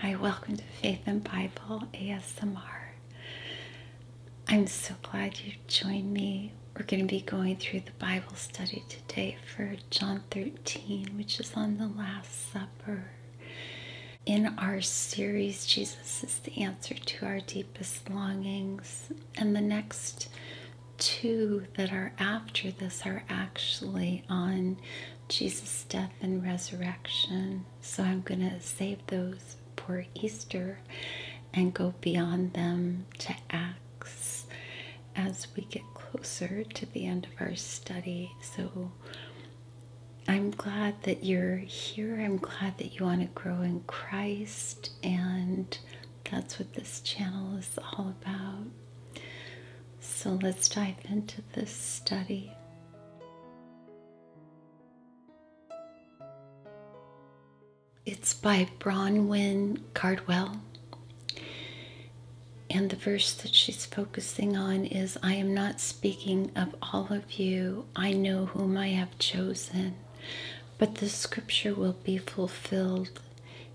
Hi, welcome to Faith and Bible ASMR. I'm so glad you joined me. We're going to be going through the Bible study today for John 13, which is on the Last Supper. In our series, Jesus is the answer to our deepest longings. And the next two that are after this are actually on Jesus' death and resurrection. So I'm going to save those for Easter and go beyond them to Acts as we get closer to the end of our study. So I'm glad that you're here. I'm glad that you want to grow in Christ, and that's what this channel is all about. So let's dive into this study. It's by Bronwyn Cardwell. And the verse that she's focusing on is I am not speaking of all of you. I know whom I have chosen. But the scripture will be fulfilled.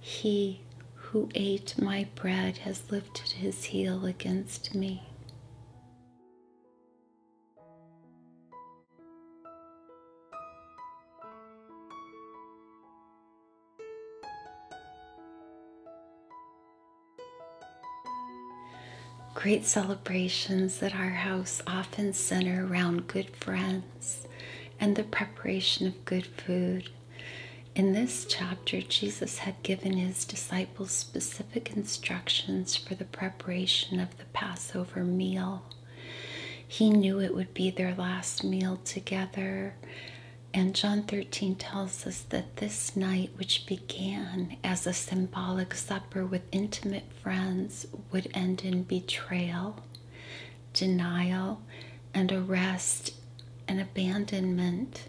He who ate my bread has lifted his heel against me. Great celebrations at our house often center around good friends and the preparation of good food in this chapter, Jesus had given his disciples specific instructions for the preparation of the Passover meal. He knew it would be their last meal together. And John 13 tells us that this night, which began as a symbolic supper with intimate friends, would end in betrayal, denial, and arrest and abandonment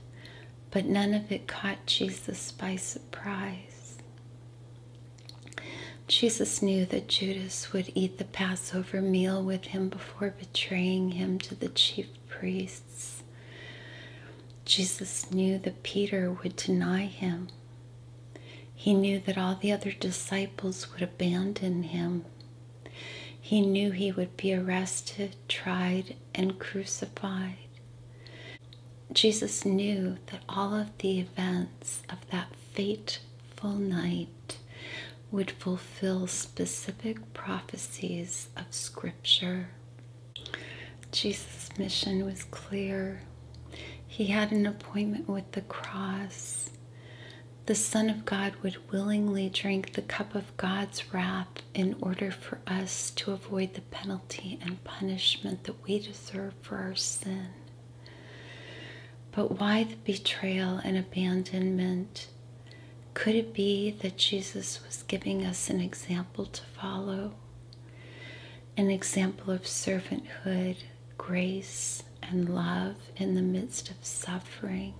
but none of it caught Jesus by surprise. Jesus knew that Judas would eat the Passover meal with him before betraying him to the chief priests. Jesus knew that Peter would deny him. He knew that all the other disciples would abandon him. He knew he would be arrested, tried, and crucified. Jesus knew that all of the events of that fateful night would fulfill specific prophecies of Scripture. Jesus' mission was clear. He had an appointment with the cross. The Son of God would willingly drink the cup of God's wrath in order for us to avoid the penalty and punishment that we deserve for our sin. But why the betrayal and abandonment? Could it be that Jesus was giving us an example to follow? An example of servanthood, grace, and love in the midst of suffering.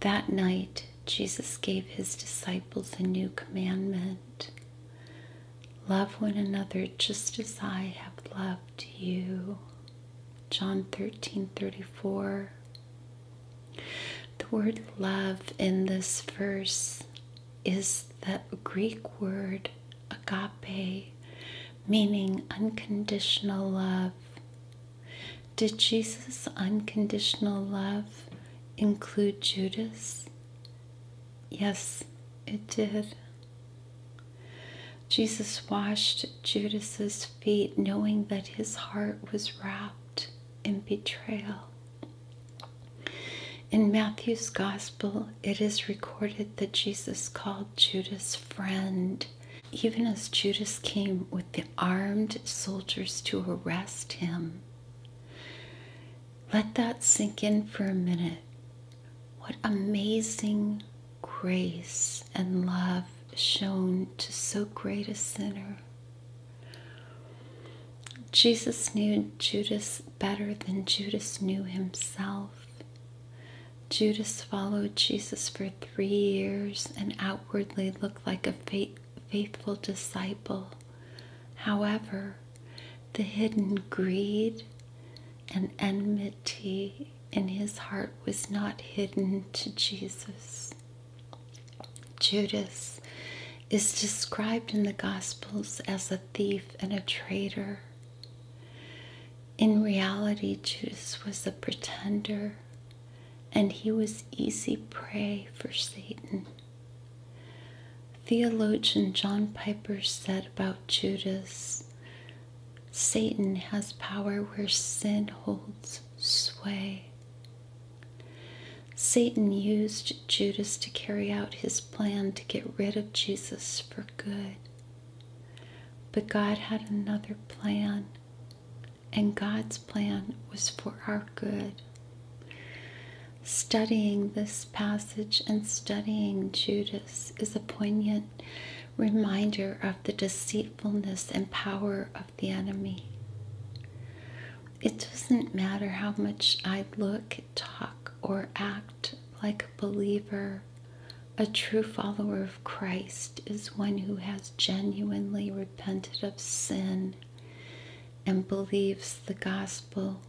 That night, Jesus gave his disciples a new commandment love one another just as I have loved you. John 13 34. The word love in this verse is the Greek word agape, meaning unconditional love, did Jesus' unconditional love include Judas? Yes, it did. Jesus washed Judas's feet knowing that his heart was wrapped in betrayal. In Matthew's gospel, it is recorded that Jesus called Judas friend even as Judas came with the armed soldiers to arrest him. Let that sink in for a minute. What amazing grace and love shown to so great a sinner. Jesus knew Judas better than Judas knew himself. Judas followed Jesus for three years and out outwardly look like a faithful disciple. However, the hidden greed and enmity in his heart was not hidden to Jesus. Judas is described in the Gospels as a thief and a traitor. In reality, Judas was a pretender and he was easy prey for Satan. Theologian John Piper said about Judas Satan has power where sin holds sway. Satan used Judas to carry out his plan to get rid of Jesus for good. But God had another plan and God's plan was for our good. Studying this passage and studying Judas is a poignant reminder of the deceitfulness and power of the enemy. It doesn't matter how much I look, talk, or act like a believer, a true follower of. Christ is one who has genuinely repented of sin and believes the gospel.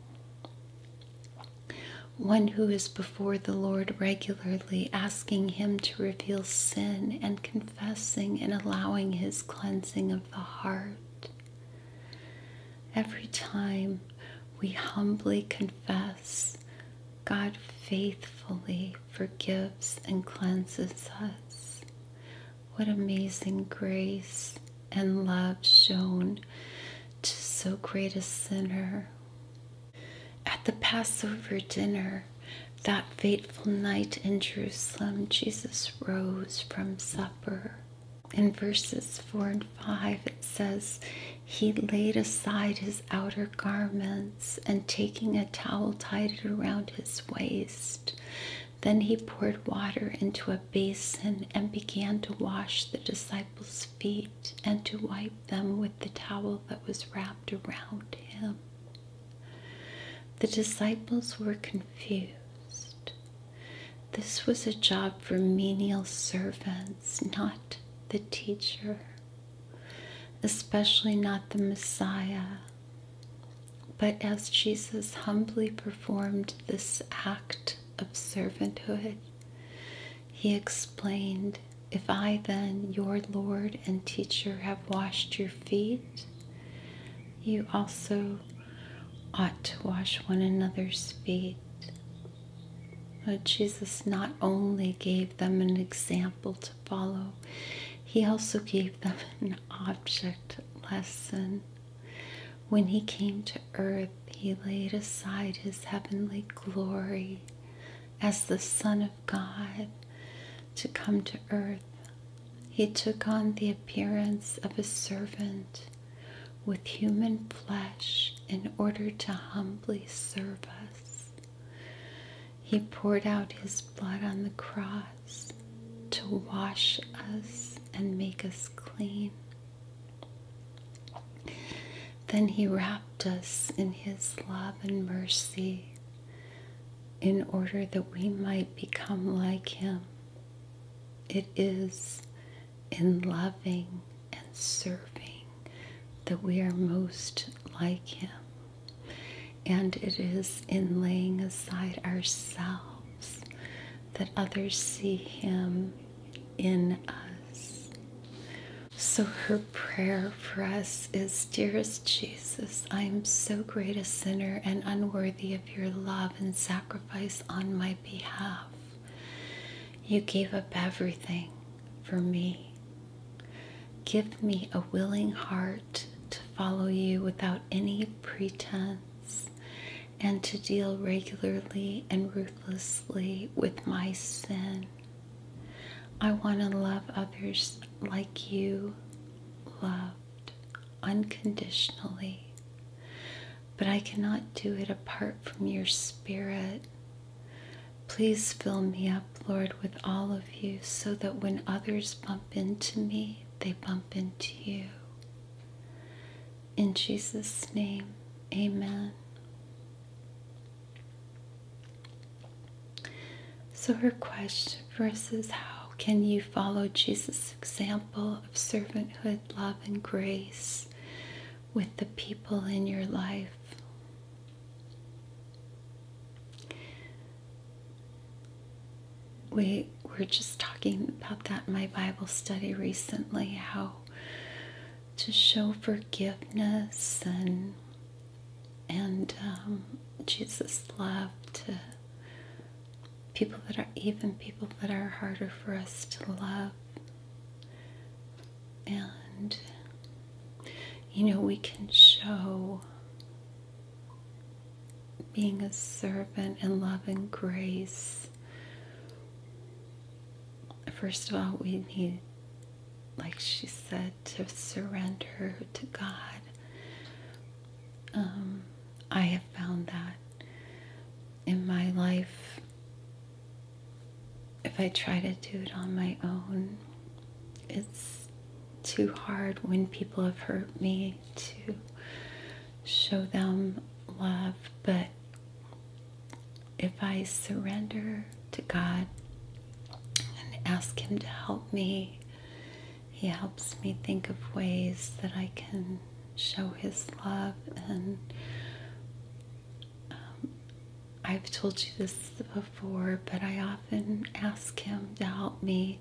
One who is before the Lord regularly, asking Him to reveal sin and confessing and allowing His cleansing of the heart. Every time we humbly confess, God faithfully forgives and cleanses us. What amazing grace and love shown to so great a sinner. At the Passover dinner, that fateful night in Jerusalem, Jesus rose from supper. In verses 4 and 5, it says, He laid aside his outer garments and taking a towel tied it around his waist. Then he poured water into a basin and began to wash the disciples' feet and to wipe them with the towel that was wrapped around him. The disciples were confused. This was a job for menial servants, not the teacher especially not the Messiah. But as Jesus humbly performed this act of servanthood, he explained, If I then, your Lord and teacher, have washed your feet, you also ought to wash one another's feet. But Jesus not only gave them an example follow. He also gave them an object lesson. When he came to earth, he laid aside his heavenly glory as the Son of God to come to earth. He took on the appearance of a servant with human flesh in order to humbly serve us. He poured out his blood on the cross to wash us and make us clean. Then he wrapped us in his love and mercy in order that we might become like him. It is in loving and serving that we are most like him. And it is in laying aside ourselves that others see Him in us. So her prayer for us is Dearest Jesus, I am so great a sinner and unworthy of your love and sacrifice on my behalf. You gave up everything for me Give me a willing heart to follow you without any pretense and to deal regularly and ruthlessly with my sin. I want to love others like you loved unconditionally, but I cannot do it apart from your spirit Please fill me up, Lord, with all of you so that when others bump into me, they bump into you. In Jesus' name, amen. So her question for how can you follow Jesus' example of servanthood, love, and grace with the people in your life? We were just talking about that in my Bible study recently how to show forgiveness and and um, Jesus' love to people that are even people that are harder for us to love and, you know, we can show being a servant and love and grace. First of all, we need, like she said, to surrender to God. Um, I have found that in my life if I try to do it on my own, it's too hard when people have hurt me to show them love. But if I surrender to God and ask Him to help me, He helps me think of ways that I can show His love and um, I've told you this before, but I often ask Him to help me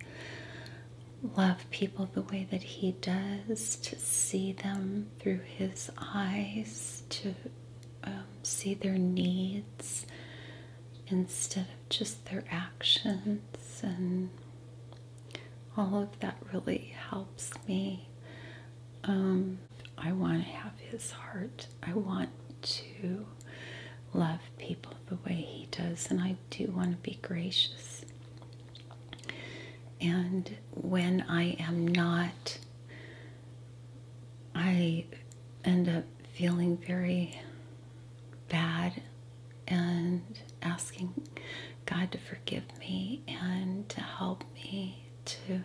love people the way that He does, to see them through His eyes, to um, see their needs instead of just their actions, and all of that really helps me. Um, I want to have his heart. I want to love people the way he does, and I do want to be gracious. And when I am not, I end up feeling very bad and asking God to forgive me and to help me to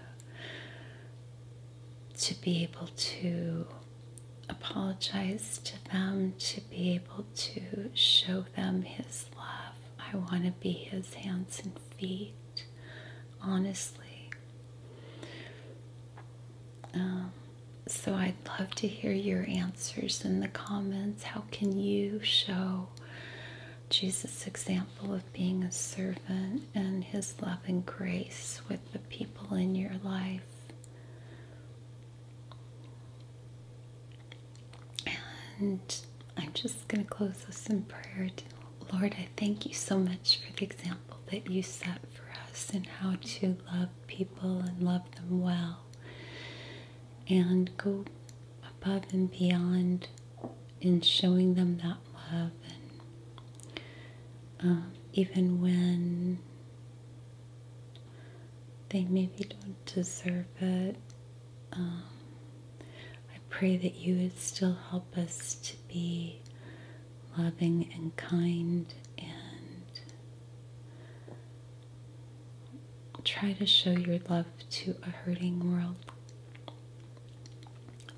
to be able to apologize to them, to be able to show them His love. I want to be His hands and feet, honestly. Um, so I'd love to hear your answers in the comments. How can you show Jesus' example being a servant and His love and grace with the people in your life. And I'm just going to close this in prayer. Lord, I thank you so much for the example that you set for us and how to love people and love them well and go above and beyond in showing them that love and um, even when they maybe don't deserve it. Um, I pray that you would still help us to be loving and kind and try to show your love to a hurting world.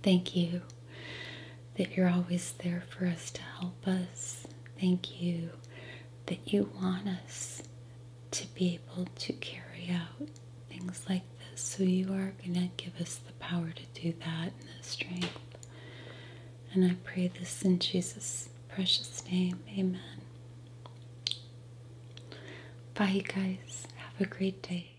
Thank you that you're always there for us to help us. Thank you that you want us to be able to carry out things like this. So you are going to give us the power to do that and the strength. And I pray this in Jesus' precious name. Amen. Bye, you guys. Have a great day.